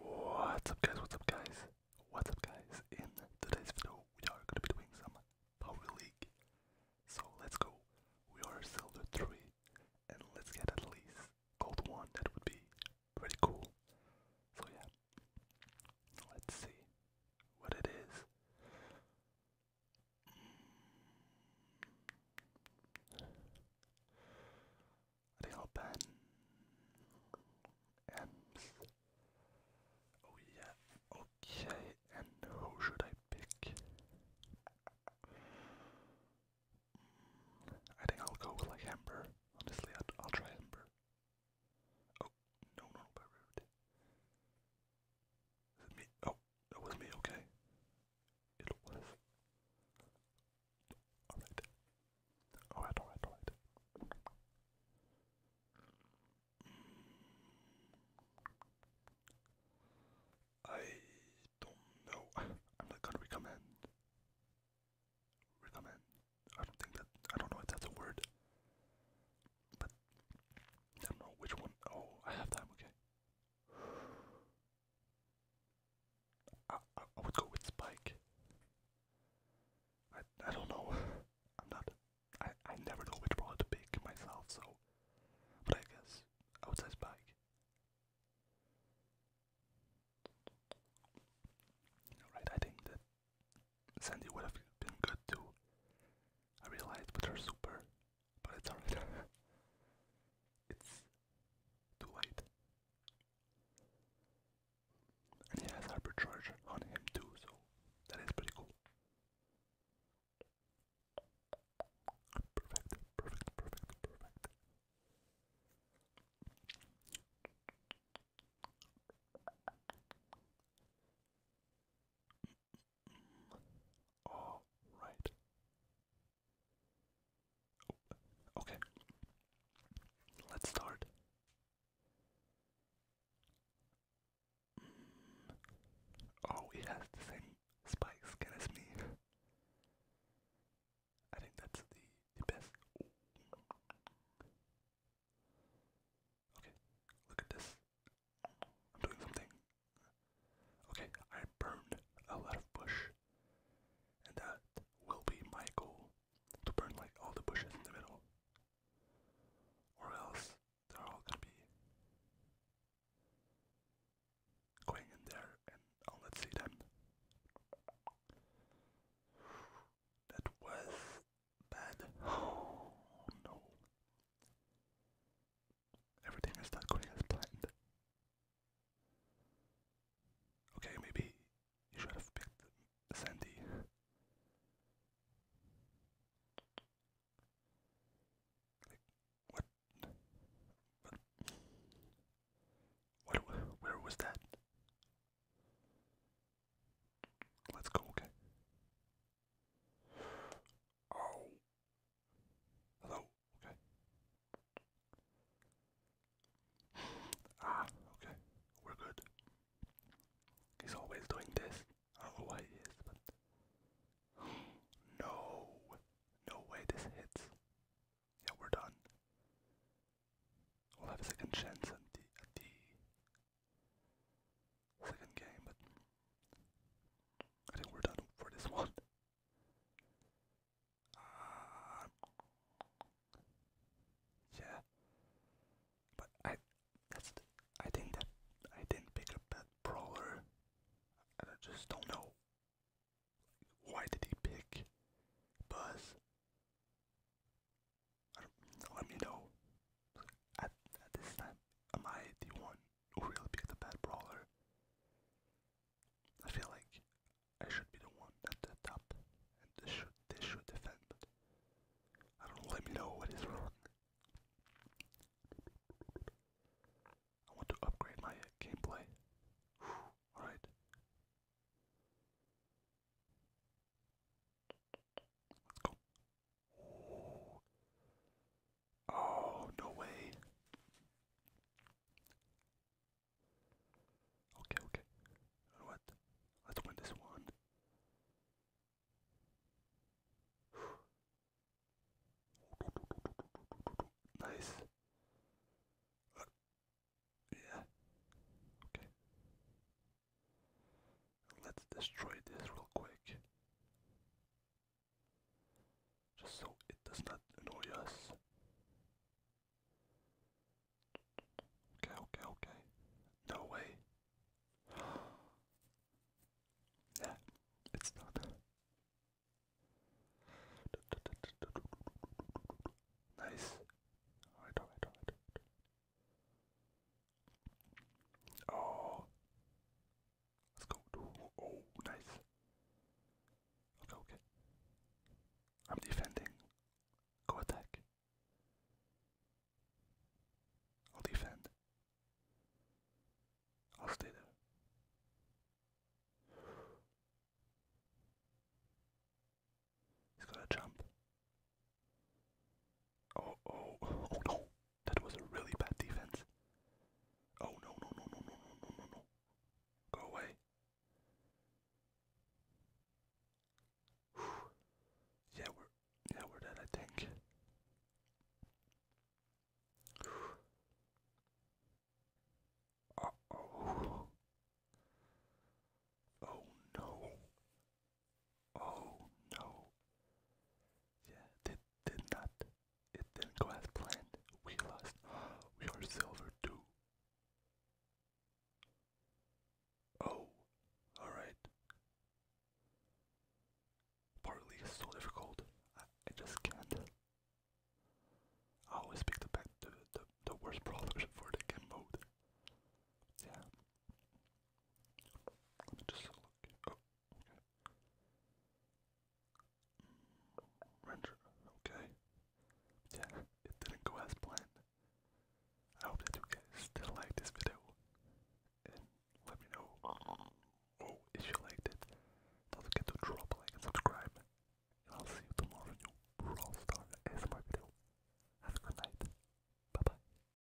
What's up guys, what's up guys, what's up guys, in today's video we are going to be doing some Power League, so let's go, we are silver 3, and let's get at least gold 1, that would be pretty cool, so yeah, let's see what it is, Real Ben Ems. Oh yeah, okay, and who should I pick? Mm, I think I'll go with like Ember. Honestly, I'll, try Ember. Oh, no, no, by Rarity. Is it me? Oh, that was me, okay. It was. Alright. Alright, alright, I don't know. I'm not gonna recommend. Recommend. I don't think that. I don't know if that's a word. But I don't know which one. Oh, I have time. Okay. I, I, would go with Spike. I I don't know. I'm not. I I never know which one to pick myself. So, but I guess I would say Spike. Alright, I think that Sandy would have been good too. I realized with her super, but it's alright. it's too late. And he has hypercharge on him too, so that is pretty cool. Perfect, perfect, perfect, perfect. All right. Okay. Let's start. Mm. Oh, it has the same spikes skin as me. I think that's the, the best. Okay, look at this. I'm doing something Okay, I burned a lot of bush, and that will be my goal to burn like all the bushes in the middle, or else they're all gonna be going in there, and I'll see them. That was bad. Oh, no everything is not going as planned. Okay, maybe you should have picked Sandy. What? Where was that? Let's go. Okay. Oh. Hello okay. Ah, okay. We're good. He's always doing this. I don't know why he is, but no, no way this hits. Yeah, we're done. We'll have a second chance at the second game, but I think we're done for this one. Uh, yeah, but I that's I think that I didn't pick up that brawler. I just don't know why did he pick Buzz. let me know. At, at this time, am I the one really be the bad brawler. I feel like I should be the one at the top, and this should this should defend. Let me know what is wrong. I want to upgrade my gameplay. All right. Let's go. Oh, no way. Okay, okay. what? Let's win this one. Nice. yeah. Okay. Let's destroy this real quick just so it does not annoy us. Okay, okay, okay. No way. yeah, it's not. nice. Alright, alright, alright. Oh. Let's go. oh, nice. Okay, okay. I'm defending. Go attack. I'll defend. I'll stay there. He's gonna jump. Oh, oh, oh no. That was a really bad defense. Oh no, no, no, no, no, no, no, no, no. Go away. Yeah, we're yeah, we're dead, I think. Uh oh. Oh no. Oh no. Yeah, did did not. It didn't go as planned. We lost. We are silver too. Oh, alright. Partly is so difficult. I, I just can't. I always pick the back the, the, the worst brawlers for the game mode. Yeah. Let me just look. Oh, Mm. Render, okay. Yeah, it didn't go as planned. I hope that you guys still like this video. And let me know oh, if you liked it. Don't forget to drop a like and subscribe. And I'll see you tomorrow in your Brawl Star ASMR video. Have a good night. Bye bye.